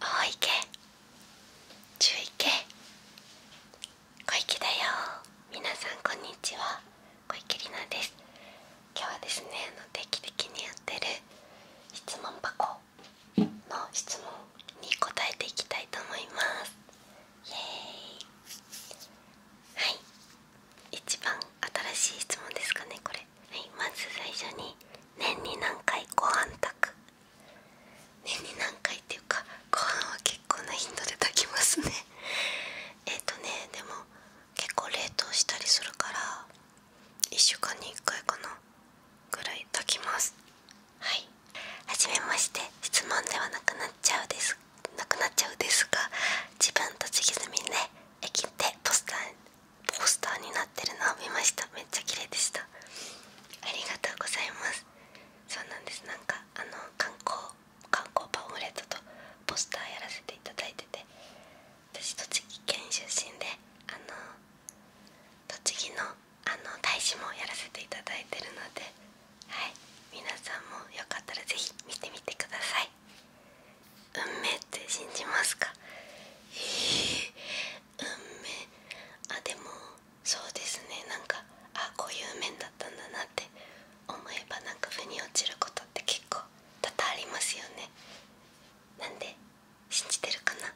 大池中池小池だよ皆さんこんにちは小池里奈です今日はですねあの定期的にやってる質問箱の質問に答えていきたいと思いますイエーイはい一番新しい質問ですかねこれ、まず最初に年に何回ご飯炊く年に何回っていうかご飯は結構な頻度で炊きますね えっとねでも結構冷凍したりするから1週間に1回かなぐらい炊きますはいはじめまして質問ではなくなっちゃうですなくなっちゃうですが自分と次住みね駅でポスターポスターになってるのを見ましためっちゃ綺麗でしたありがとうございますそうなんですなんかあの観光観光パンフレットとポスターやらせていただいてて私栃木県出身であの栃木のあの大使もやらせていただいてるのではい皆さんもよかったら是非見てみてください運命って信じますかえ運命あでもそうですねなんかあこういう面だったんだなって思えばなんか腑に落ちることって結構多々ありますよねなんで信じてるかな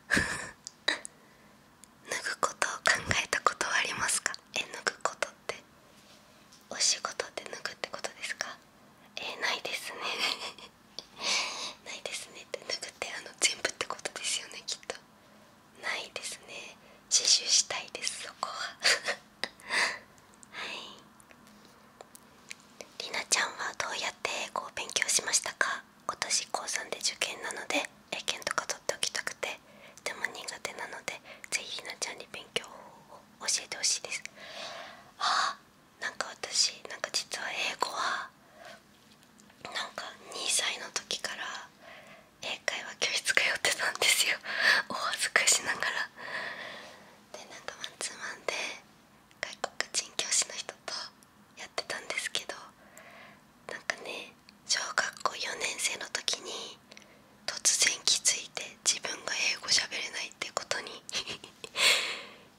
脱ぐことを考えたことはありますかえ脱ぐことってお仕事で脱ぐってことですかえないですね ないですねってなくてあの全部ってことですよねきっとないですね自習したいですそこは はいりなちゃんはどうやって英語勉強しましたか今年高3で受験なので英検とか取っておきたくてでも苦手なのでぜひりなちゃんに勉強を教えてほしいですあなんか私なんか実は英語はなんか2歳の時から英会話教室通ってたんですよ お恥ずかしながらでなんかマンツーマンで外国人教師の人とやってたんですけどなんかね小学校4年生の時に突然気づいて自分が英語しゃべれないってことに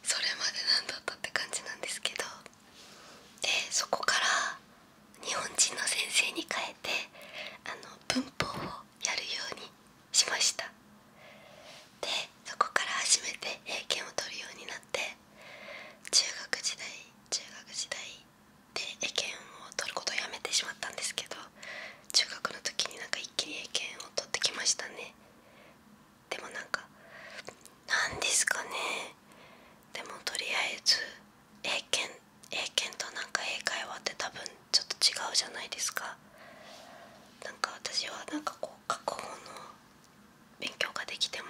それまでなんだったって感じなんですけどでそこから日本人の先生に変えてあの文法をやるようにしましたでそこから初めて英検を取るようになって中学時代中学時代で英検を取ることをやめてしまったんですけど中学の時になんか一気に英検を取ってきましたねでもなんか何ですかねでもとりあえず英検英検となんか英会話って多分ちょっと違うじゃないですかなんか私はなんかこう過去の勉強ができても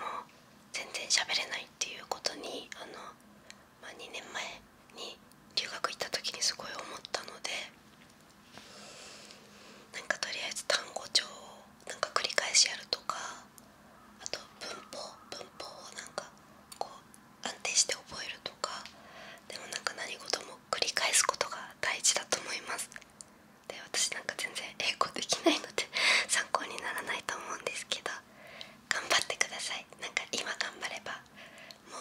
全然喋れないっていうことにあの、まあ、2年前に留学行った時にすごい思ったのでなんかとりあえず単語帳をなんか繰り返しやるとかあと文法文法をなんかこう安定して覚えるとかでもなんか何事も繰り返すことが大事だと思いますで私なんか全然英語できないので 参考にならないと思うんですけど頑張ってくださいなんか今頑張ればも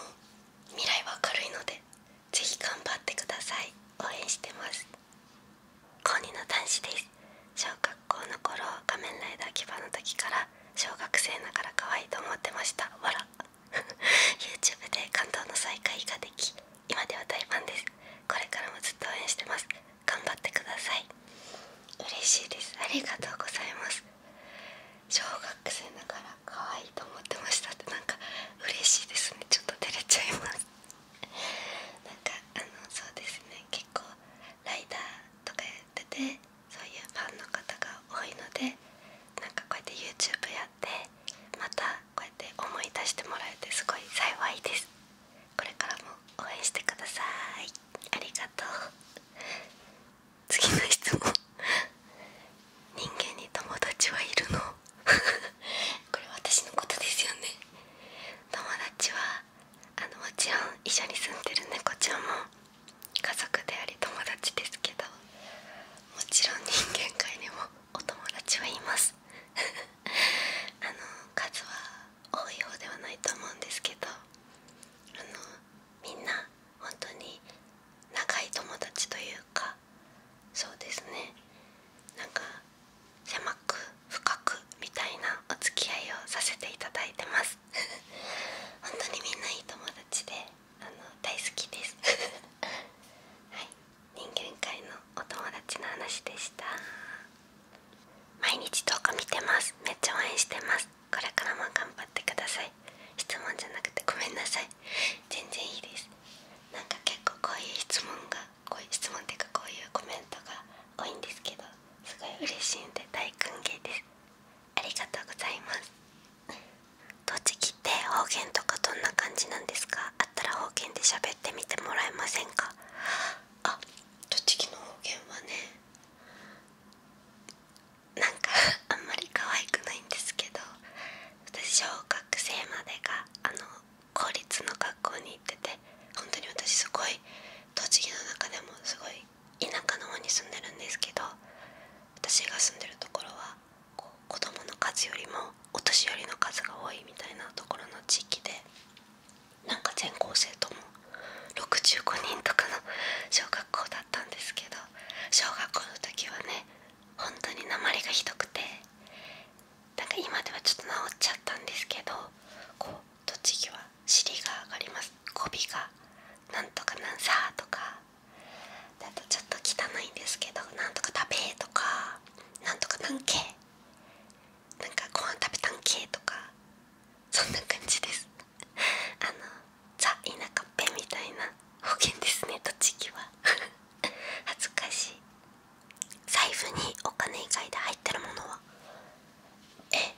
う未来は明るいのでぜひ頑張ってください応援してます高2の男子です小学校の頃仮面ライダー牙の時から小学生ながら可愛いと思ってましたわら YouTube で感動の再会ができ今では大ファンですこれからもずっと応援してます頑張ってください嬉しいですありがとうございます小学生ながら可愛いと思ってましたってなんか嬉しいですねちょっと照れちゃいますなんかあのそうですね結構ライダーとかやっててそういうファンの方が多いのでなんかこうやって YouTube やってまたこうやって思い出してもらえてすごい幸いですこれからも応援してくださいありがとう次の質問人間に友達はいるの これ私のことですよね友達はあのもちろん一緒に住んでる猫ちゃんも家族であり友達ですけどもちろん人間界にもお友達はいます あの数は多い方ではないと思うんですけどあのみんな本当に仲いい友達というかそうですねなんか狭く深くみたいなお付き合いをさせていただいてます 本当にみんないい友達であの大好きです はい人間界のお友達の話でした毎日動画見てますめっちゃ応援してますこれからも頑張ってください質問じゃなくてごめんなさい全然いいですなんか結構こういう質問がこういう質問っていうかこういうコメントが多いんですけどすごい嬉しいんで大歓迎ですありがとうございます栃木って方言とかどんな感じなんですかあったら方言で喋ってみてもらえませんかあ栃木の方言はねなんかあんまり可愛くないんですけど私小学生までがあの公立の学校に行ってて本当に私すごい栃木の中でもすごい田舎の方に住んでるんですけど私が住んでるところはこう子供の数よりもお年寄りの数が多いみたいなところの地域でなんか全校生徒も65人とかの小学校だったんですけど小学校の時はね本当に鉛がひどくてなんか今ではちょっと治っちゃったんですけどこう栃木は尻が上がります語尾がなんとかなんさとかだとちょっと汚いんですけどなんとか食べとかなんとかなんけなんかご飯食べたんけとかそんな感じです あのザ・田舎っぺみたいな方言ですね栃木は 恥ずかしい財布にお金以外で入ってるものはえ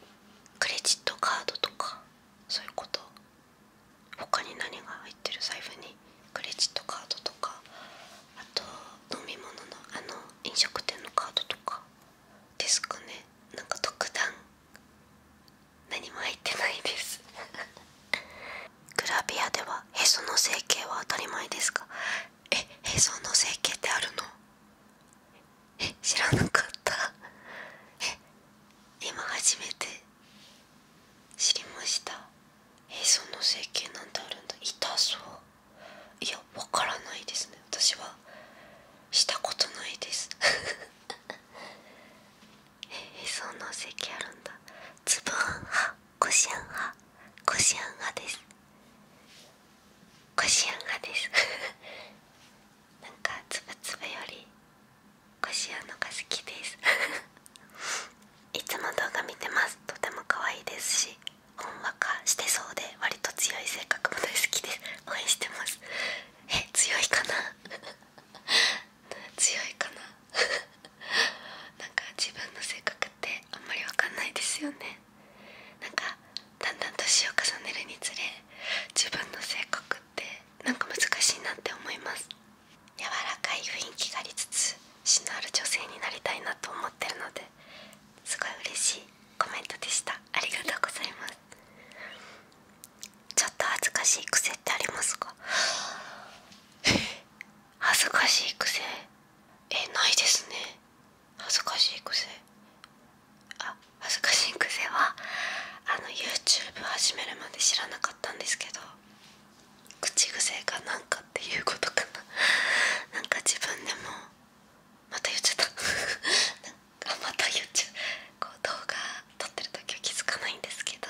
クレジットカードとかそういうこと他に何が入ってる財布にクレジットカードとかあと飲み物のあの飲食店のカードとかですかねなんか特段何も入ってないです グラビアではへその整形は当たり前ですかえへその整形ってあるのえ知らなかったえ今初めて知りましたへその整形なんてあるんだ痛そういやわからないですね私はしたことないです へその席あるんだつぶあんはこしあん派こしあん派ですこしあん派です なんかつぶつぶよりこしあんのが好きです いつも動画見てますとても可愛いですしほんわかしてそうでわりと強い性格も大好きです応援してますえ強いかな強いかな なんか自分の性格ってあんまりわかんないですよねなんかだんだん年を重ねるにつれ自分の性格ってなんか難しいなって思います柔らかい雰囲気がありつつ詩のある女性になりたいなと思ってるのですごい嬉しいコメントでしたありがとうございますちょっと恥ずかしい癖ってありますか 恥ずかしい癖えないですね恥ずかしい癖あ恥ずかしい癖はあの YouTube 始めるまで知らなかったんですけど口癖かなんかっていうことかななんか自分でもまた言っちゃったなん あまた言ちゃこう動画撮ってる時は気づかないんですけど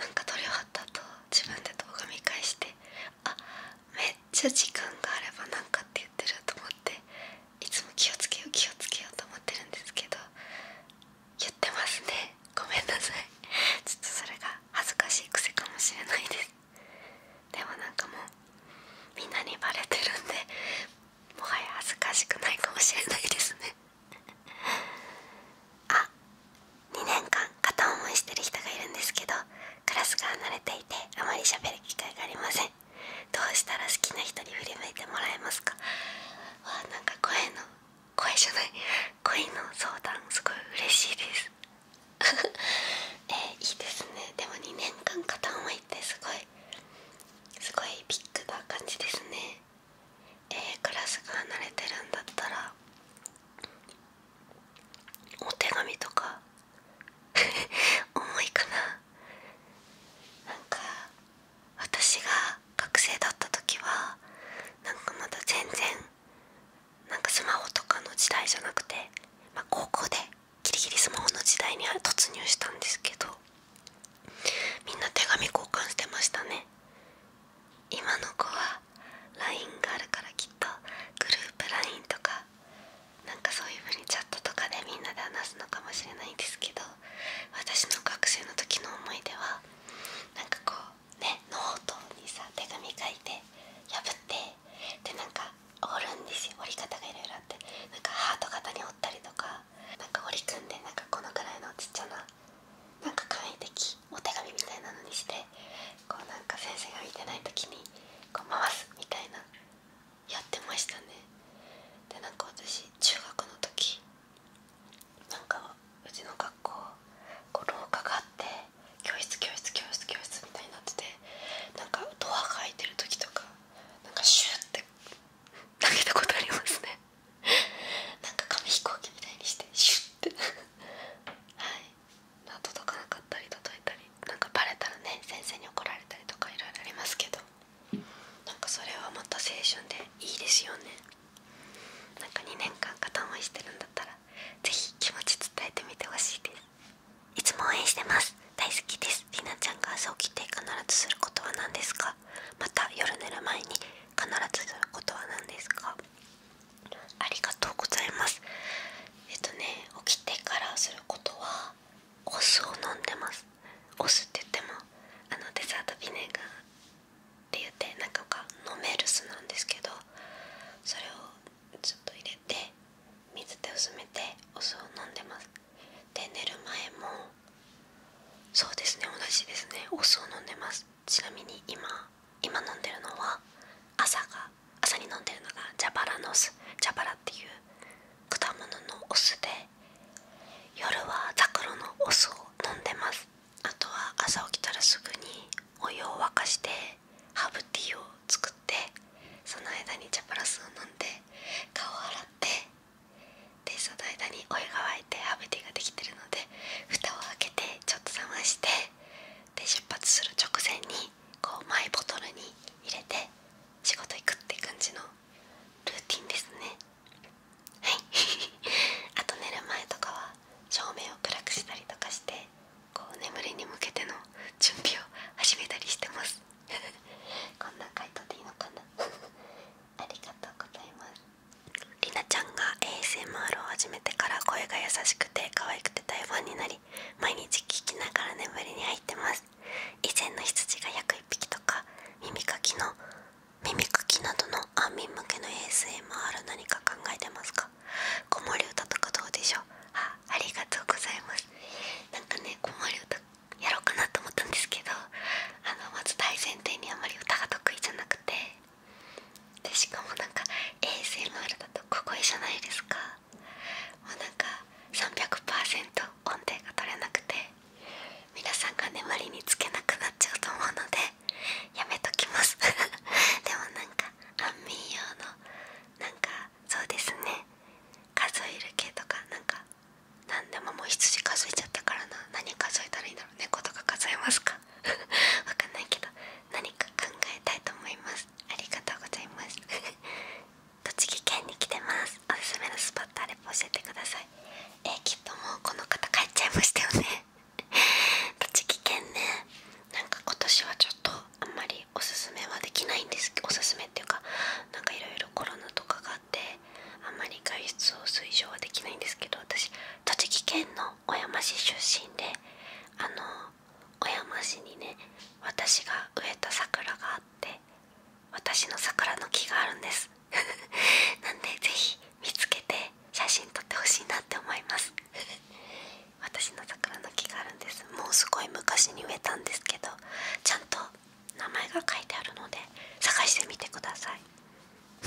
なんか撮り終わった後自分で動画見返してあめっちゃ時間があれば何かって言ってると思っていつも気をつけよう気をつけようと思ってるんですけど言ってますねごめんなさいちょっとそれが恥ずかしい癖かもしれないですでもなんかもうみんなにバレてるんでもはや恥ずかしくないかもしれないですね あ2年間片思いしてる人がいるんですけどクラスが離れていてあまり喋る機会がありませんどうしたら好きな人に振り向いてもらえますかわなんか声の声じゃない恋の相談すごい嬉しいです えー、いいですねでも2年間片思いってすごいすごいビッグな感じですねええ、クラスが離れてるんだったらお手紙とか 重いかななんか私が学生だった時はなんかまだ全然なんかスマホとかの時代じゃなくて、まあ、高校でギリギリスマホの時代に突入したんですけどみんな手紙交換してましたね今の子は LINE があるからきっとグループ LINE とかなんかそういう風にチャットとかでみんなで話すのかもしれないんですけど私の学生の時の思い出はなんかこうねノートにさ手紙書いて破ってでなんか折るんですよ折り方がいろいろあってなんかハート型に折ったりとかなんか折り組んでなんかこのくらいのちっちゃななんか簡易的お手紙みたいなのにしてこうなんか先生が見てない時にこう回すみたいなやってましたねでなんか私中学の時なんかうちの学校こう廊下があって教室教室教室教室みたいになっててなんかドアが開いてる時とかなんかシューって投げたことありますねなんか紙飛行機みたいにしてシュッてはい、届かなかったり届いたりなんかバレたらね先生に怒られたりとかいろいろありますけどなんかそれはもっと青春でいいですよねなんか2年間片思いしてるんだったら是非気持ち伝えてみてほしいですいつも応援してます大好きですりなちゃんが朝起きて必ずすることは何ですかまた夜寝る前に必ずすることは何ですかありがとうございますえっとね起きてからすることはお酢を飲んでますお酢って言ってもあのデザートビネガーって言ってなんか飲める酢なんですけどそれをちょっと入れて水で薄めてお酢を飲んでますで寝る前もそうですね同じですねお酢を飲んでますちなみに今今飲んでるのは朝が朝に飲んでるのが蛇腹の酢蛇腹っていう果物のお酢で夜はザクロのお酢を飲んでますあとは朝起きたらすぐにお湯を沸かしてハーブティーを作ってその間にジャパラスを飲んで顔を洗ってでその間にお湯が沸いてハーブティができてるので蓋を開けてちょっと冷ましてで出発する直前にこうマイボトルに入れて仕事行くって感じのルーティンですねはい あと寝る前とかは照明を暗くしたりとかしてこう眠りに向けての準備を始めたりしてます こんな回答でいいのかな ありがとうございますりなちゃんが ASMR を始めてから声が優しくて可愛くて大ファンになり毎日聞きながら眠りに入ってます以前の羊が約1匹とか耳かきの耳かきなどの安眠向けの ASMR 何か考えてますか子守歌とかどうでしょうありがとうございますなんかね子守歌やろうかなと思ったんですけどあのまず大前提にあまり歌が得意じゃなくてでしかもなんか ASMR だとここいいじゃないですかもうなんか300%音程が取れなくて皆さんが粘りにつけなくなっちゃうと思うのでやめときます でもなんか安眠用のなんかそうですね数える系とかなんか何でももう羊数えちゃったからな何数えたらいいんだろう猫とか数えますか わかんないけど何か考えたいと思いますありがとうございます 栃木県に来てますおすすめのスポットあれば教えてくださいえきっともうこの方帰っちゃいましたよね 栃木県ねなんか今年はちょっとあんまりおすすめはできないんですおすすめっていうかなんかいろいろコロナとかがあっっあまり外出を推奨はできないんですけど私栃木県の小山市出身であの小山市にね私が植えた桜があって私の桜の木があるんです なんで是非見つけて写真撮ってほしいなって思います 私の桜の木があるんですもうすごい昔に植えたんですけどちゃんと名前が書いてあるので探してみてください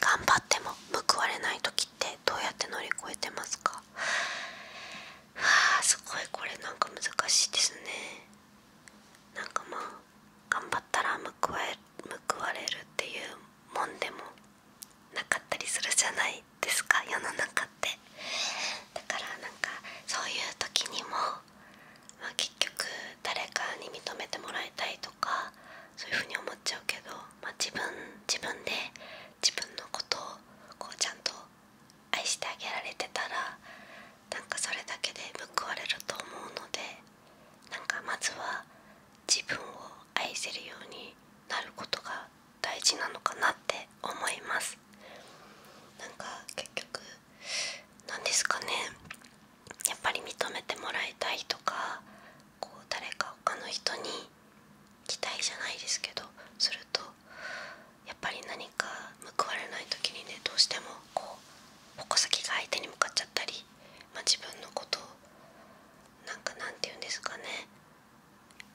頑張っても報われない時ってどうやって乗り越えてますかはあすごいこれなんか難しいですねなんかまあ頑張ったら報わ報われるっていうもんでもなかったりするじゃないですか世の中ってだからなんかそういう時にもま結局誰かに認めてもらいたいとかそういうふうに思っちゃうけど、ま自分自分で自分のことをこうちゃんと愛してあげられてたらなんかそれだけで報われると思うのでなんかまずは自分を愛せるようになることが大事なのかなって思いますなんか結局何ですかねやっぱり認めてもらいたいとかこう誰か他の人に期待じゃないですけどするとやっぱり何か報われない時にねどうしてもこう矛先が相手に向かっちゃったり、ま自分のことをなんかなんて言うんですかね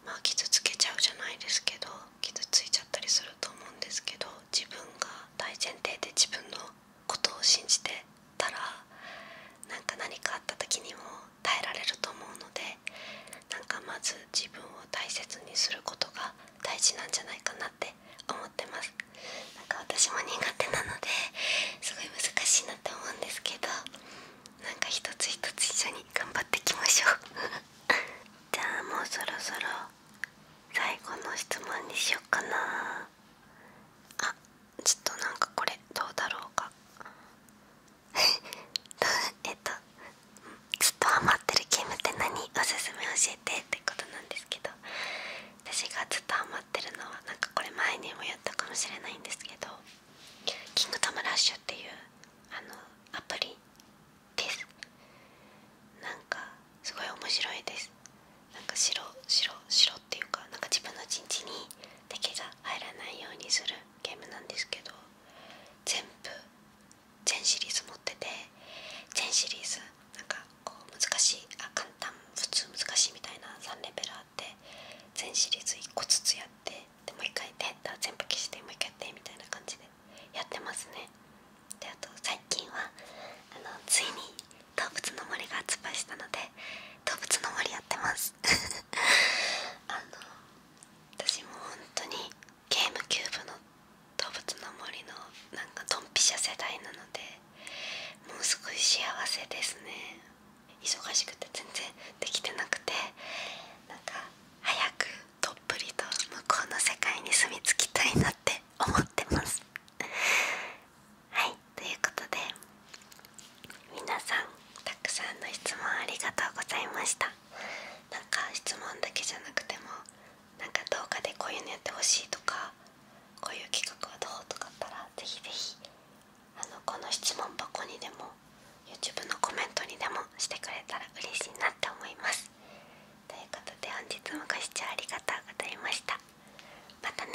まあ傷つけちゃうじゃないですけど傷ついちゃったりすると思うんですけど自分が大前提で自分のことを信じてたらなんか何かあった時にも耐えられると思うのでなんかまず自分を大切にすることが大事なんじゃないかなって思ってますなんか私も苦手なのですごい難しいなって思うんですけどなんか一つ一つ一緒に頑張っていきましょう じゃあもうそろそろ最後の質問にしよっかなあちょっとなんかこれどうだろうか えっとずっとハマってるゲームって何おすすめ教えてってことなんですけど私がずっとハマってるのはなんかこれ前にもやったかもしれないんですけど「キングダムラッシュ」っていうあのアプリですなんかすごい面白いですなんか白白白っていうかなんか自分の陣地に敵が入らないようにするゲームなんですけど全部全シリーズ持ってて全シリーズなんかこう難しいあ簡単普通難しいみたいな3レベルあって全シリーズ1個ずつやってでもう一回やって全部消してもう一回やってみたいな感じでやってますねであと最近はあのついに「動物の森」が発売したので「動物の森」やってます あの私も本当にゲームキューブの「動物の森」のなんかドンピシャ世代なのでもうすごい幸せですね忙しくて全然できてなくてなか早くどっぷりと向こうの世界に住み着きたいなって思ってます。はいということで皆さんたくの質問ありがとうございました。なんか質問だけじゃなくてもなんか動画でこういうのやってほしいとかこういう企画はどうとかあったらぜひぜひあのこの質問箱にでも YouTube のコメントにでもしてくれたら嬉しいなって思います。ますということで本日もご視聴ありがとうございましたまたね